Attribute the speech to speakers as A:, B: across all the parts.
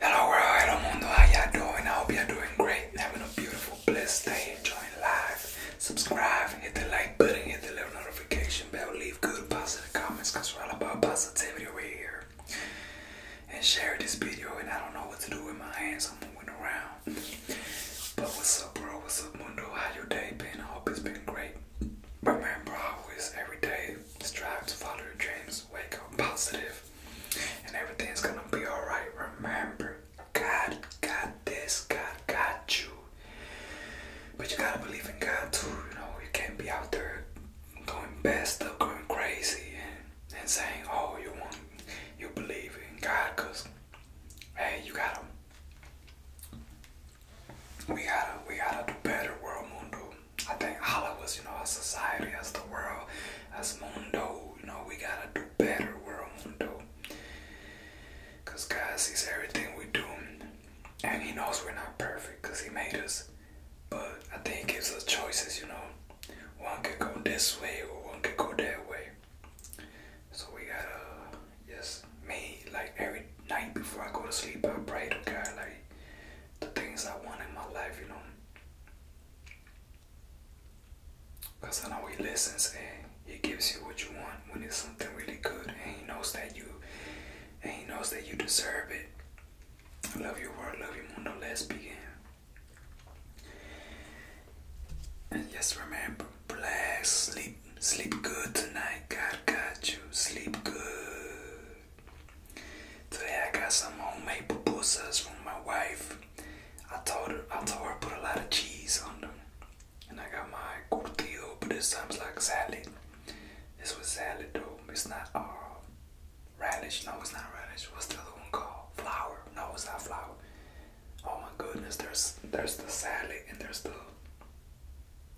A: Hello world, hello mundo, how y'all doing? I hope y'all doing great, having a beautiful, blessed day, enjoying life. Subscribe, hit the like button, hit the little notification bell, leave good positive comments, cause we're all about positivity right here. And share this video, and I don't know what to do with my hands, I'm moving around. But what's up bro, what's up mundo, how your day been? I hope it's been great. Remember always, every day strive to follow your dreams, wake up positive, and everything's gonna be alright. Remember, God got this, God got you. But you gotta believe in God too, you know, you can't be out there going best up, going crazy and, and saying, Oh, you want you believe in God cause hey you gotta we gotta we gotta do better world mundo I think Allah was, you know, as society, as the world, as mundo, you know, we gotta do better, world mundo. Cause God sees everything we do, and He knows we're not perfect, cause He made us. But I think He gives us choices, you know. One can go this way, or one can go that way. So we gotta, just me, like every night before I go to sleep, I pray to God, like, the things I want in my life, you know. Because I know he listens and he gives you what you want when it's something really good and he knows that you and he knows that you deserve it. I love your world, love your more let's begin. And just remember, bless. sleep, sleep good tonight. God got you. Sleep good. Today I got some homemade pupusas from my wife. I told her I told her put a lot of cheese on them. And I got my curtido, but this time like salad. This was salad though. It's not uh radish. No, it's not radish. What's the other one called? Flour. No, it's not flour. Oh my goodness, there's there's the salad and there's the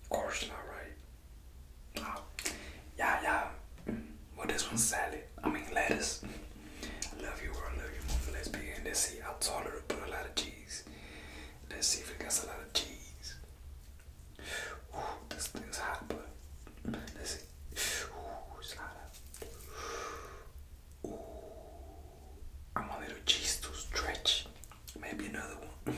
A: course not right. Oh, yeah, yeah. Well, this one's salad. I mean, lettuce. I love you, world. I love you more. let's begin. Let's see. I told her to put a lot of cheese. Let's see if it got a lot of cheese. Ooh, this thing's hot, but let's see. Ooh, it's Ooh, I'm a little cheese to stretch. Maybe another one.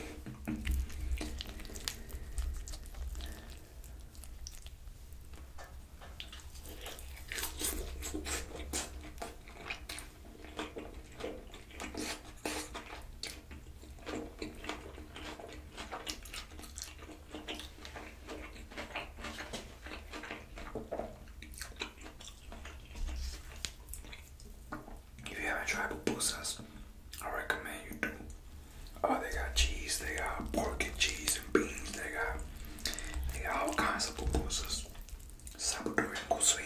A: If you haven't tried pupusas, I recommend you do. Oh, they got cheese, they got pork and cheese and beans, they got they got all kinds of pupusas. Salvadorian cuisine.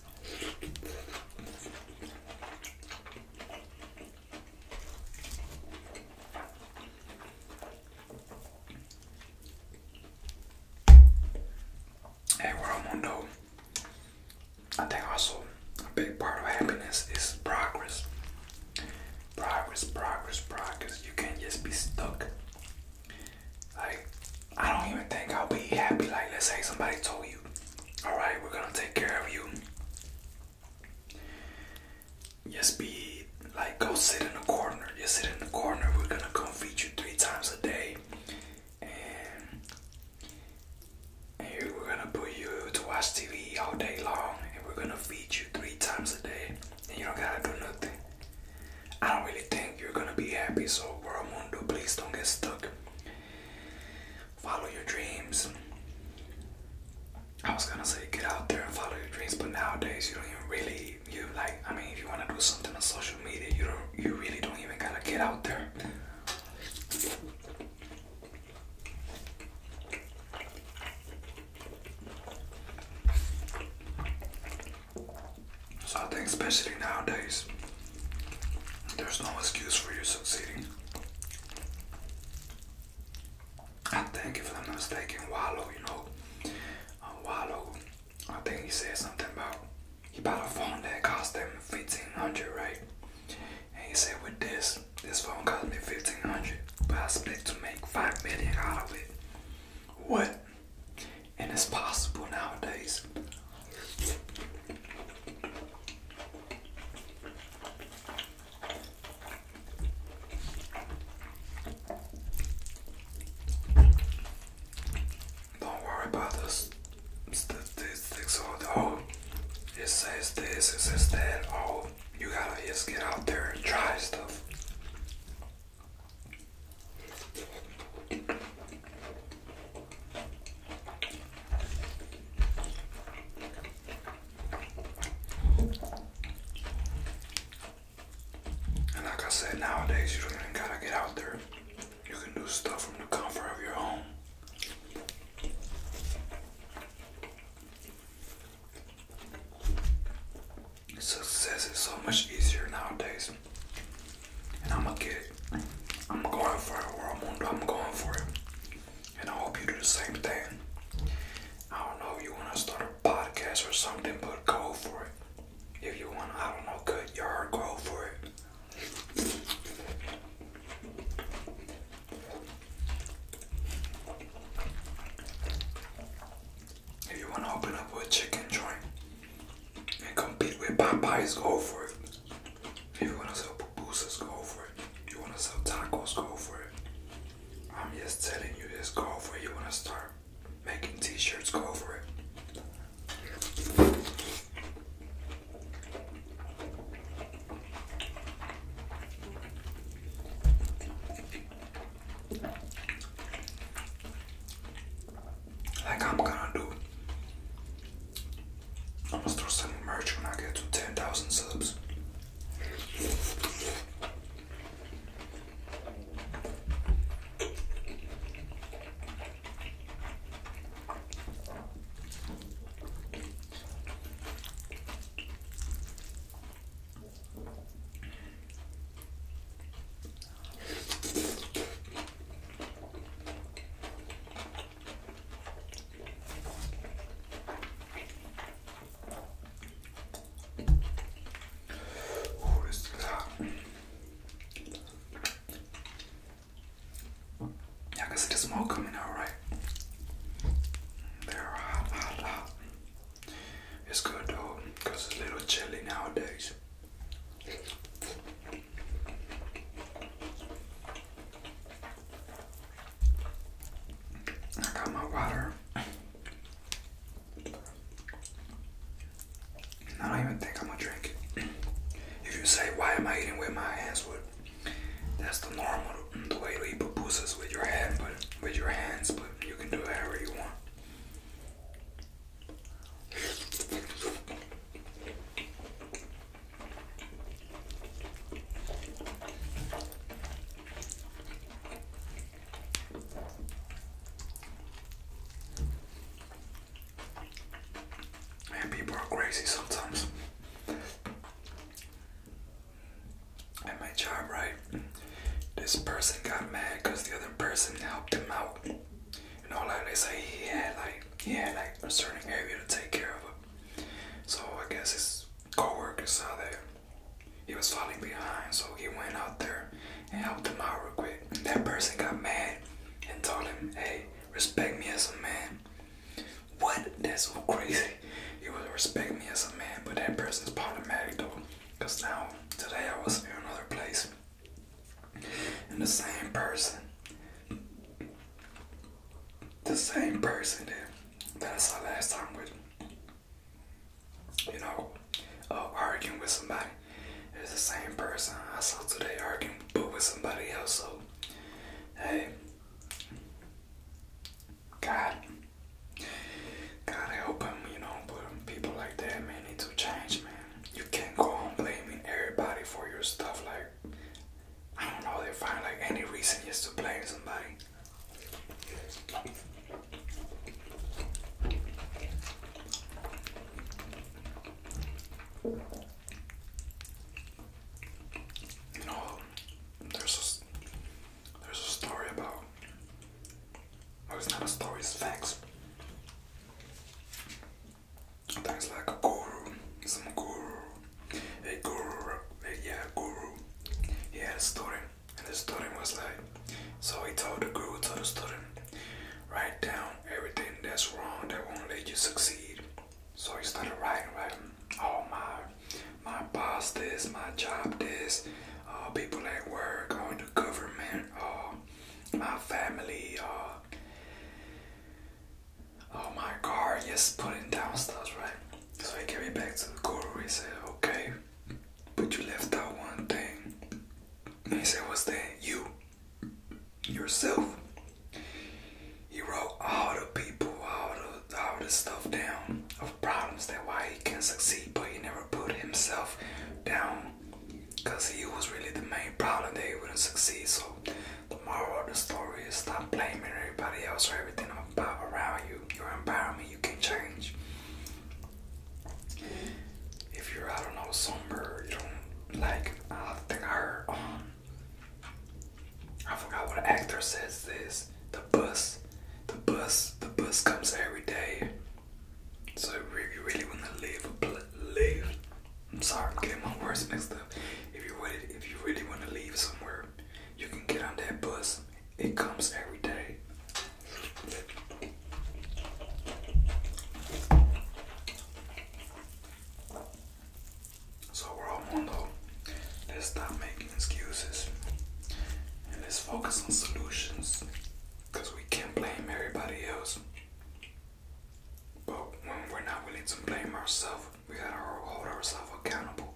A: Hey, world mundo. I think also a big part of happiness is progress. Progress, progress, progress. You can't just be stuck. Like, I don't even think I'll be happy. Like, let's say somebody told you, all right, we're gonna take care of you. Just be like, go sit in the corner. Just sit in the corner. We're gonna come feed you three times a day, and, and we're gonna put you to watch TV all day long, and we're gonna feed you three times a day, and you don't gotta do nothing. I don't really think you're gonna be happy, so, World Mundo, please don't get stuck follow your dreams. I was gonna say get out there and follow your dreams, but nowadays you don't even really you like. I mean, if you wanna do something on social media, you don't. You really don't even gotta get out there. So I think especially nowadays, there's no excuse for you succeeding. I think, if I'm not mistaken, Wallow, you know, uh, I think he said something about he bought a phone that cost him 1500 right? And he said, with this, this phone cost me 1500 but I expect to make 5 million out of it. What? And it's possible nowadays. Don't worry about the statistics oh, it says this, it says that. Oh, you gotta just get out there and try stuff. And like I said, nowadays you don't even gotta get out there. You can do stuff from the comfort of your home. Success is so much easier nowadays. And I'ma get it. I'm going for it, I'm going for it. And I hope you do the same thing. I don't know if you wanna start a podcast or something, but go for it. If you want I don't know, cut your heart, go for it. If you wanna open up a chicken joint, and compete with Popeyes, go for it. If you wanna sell pupusas, go for it. If you wanna sell tacos, go for it. I'm just telling you, just go for it. You wanna start making t-shirts, go for it like I'm gonna do. I'm gonna start selling merch when I get to 10,000 subs. Oh, this hot. Y'all smoke coming out, right? It's good though, it's a little chilly nowadays. I got my water. I don't even think I'm gonna drink If you say, why am I eating with my hands? With that's the normal the way to eat pupusas with your hands, but with your hands, but you can do it however you want. And people are crazy sometimes. And my job, right? This person got mad because the other person helped him out. You know, like they say, he had like he had like a certain area to take care of. So I guess his coworker saw that he was falling behind, so he went out there and helped him out real quick. That person got mad and told him, "Hey, respect me as a man." What? That's so crazy. He would respect me as a man, but that person's problematic though. Because now, today I was in another place, and the same person, the same person that, I saw last time with, you know, uh, arguing with somebody, is the same person I saw today arguing with somebody else. So, hey, God. God, I hope you know, people like that, man, need to change, man. You can't go on blaming everybody for your stuff. Like, I don't know, they find like any reason just to blame somebody. You know, there's there's a story about. Well, it's not a story, it's facts. There's like a guru, some guru, a guru, yeah, guru. He had a story, and the story was like, so he told the guru, told the student, write down everything that's wrong that won't let you succeed. So he started writing, writing all my my boss this, my job this, all uh, people at work, or the government, all uh, my family, all. Uh, oh my car, just putting down stuff, right? So he gave me back to the guru. He said, okay, but you left out one thing. he said, what's that? You, yourself. He wrote all the people, all the, all the stuff down of problems that why he can not succeed, but he never put himself down because he was really the main problem that he wouldn't succeed. So the moral of the story is stop blaming everybody else for everything about around you, your environment you can change. If you're, I don't know, somber, you don't like, I think I heard, um, I forgot what actor says this the bus, the bus, the bus comes every day. So if really want to leave, leave. I'm sorry, I'm getting my words mixed up. If you really, if you really want to leave somewhere, you can get on that bus. It comes every day. So we're all on Let's stop making excuses and let's focus on solutions because we can't blame everybody else. But when we're not willing to blame ourselves, we gotta hold ourselves accountable.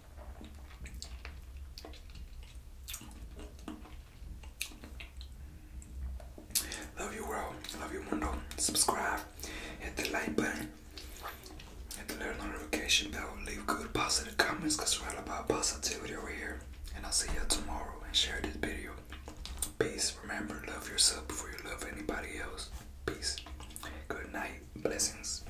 A: Love you world, love you mundo. Subscribe, hit the like button, hit the little notification bell, leave good positive comments because we're all about positivity over here. And I'll see you tomorrow and share this video. Peace. Remember, love yourself before you love anybody else. Peace. Good night. Blessings.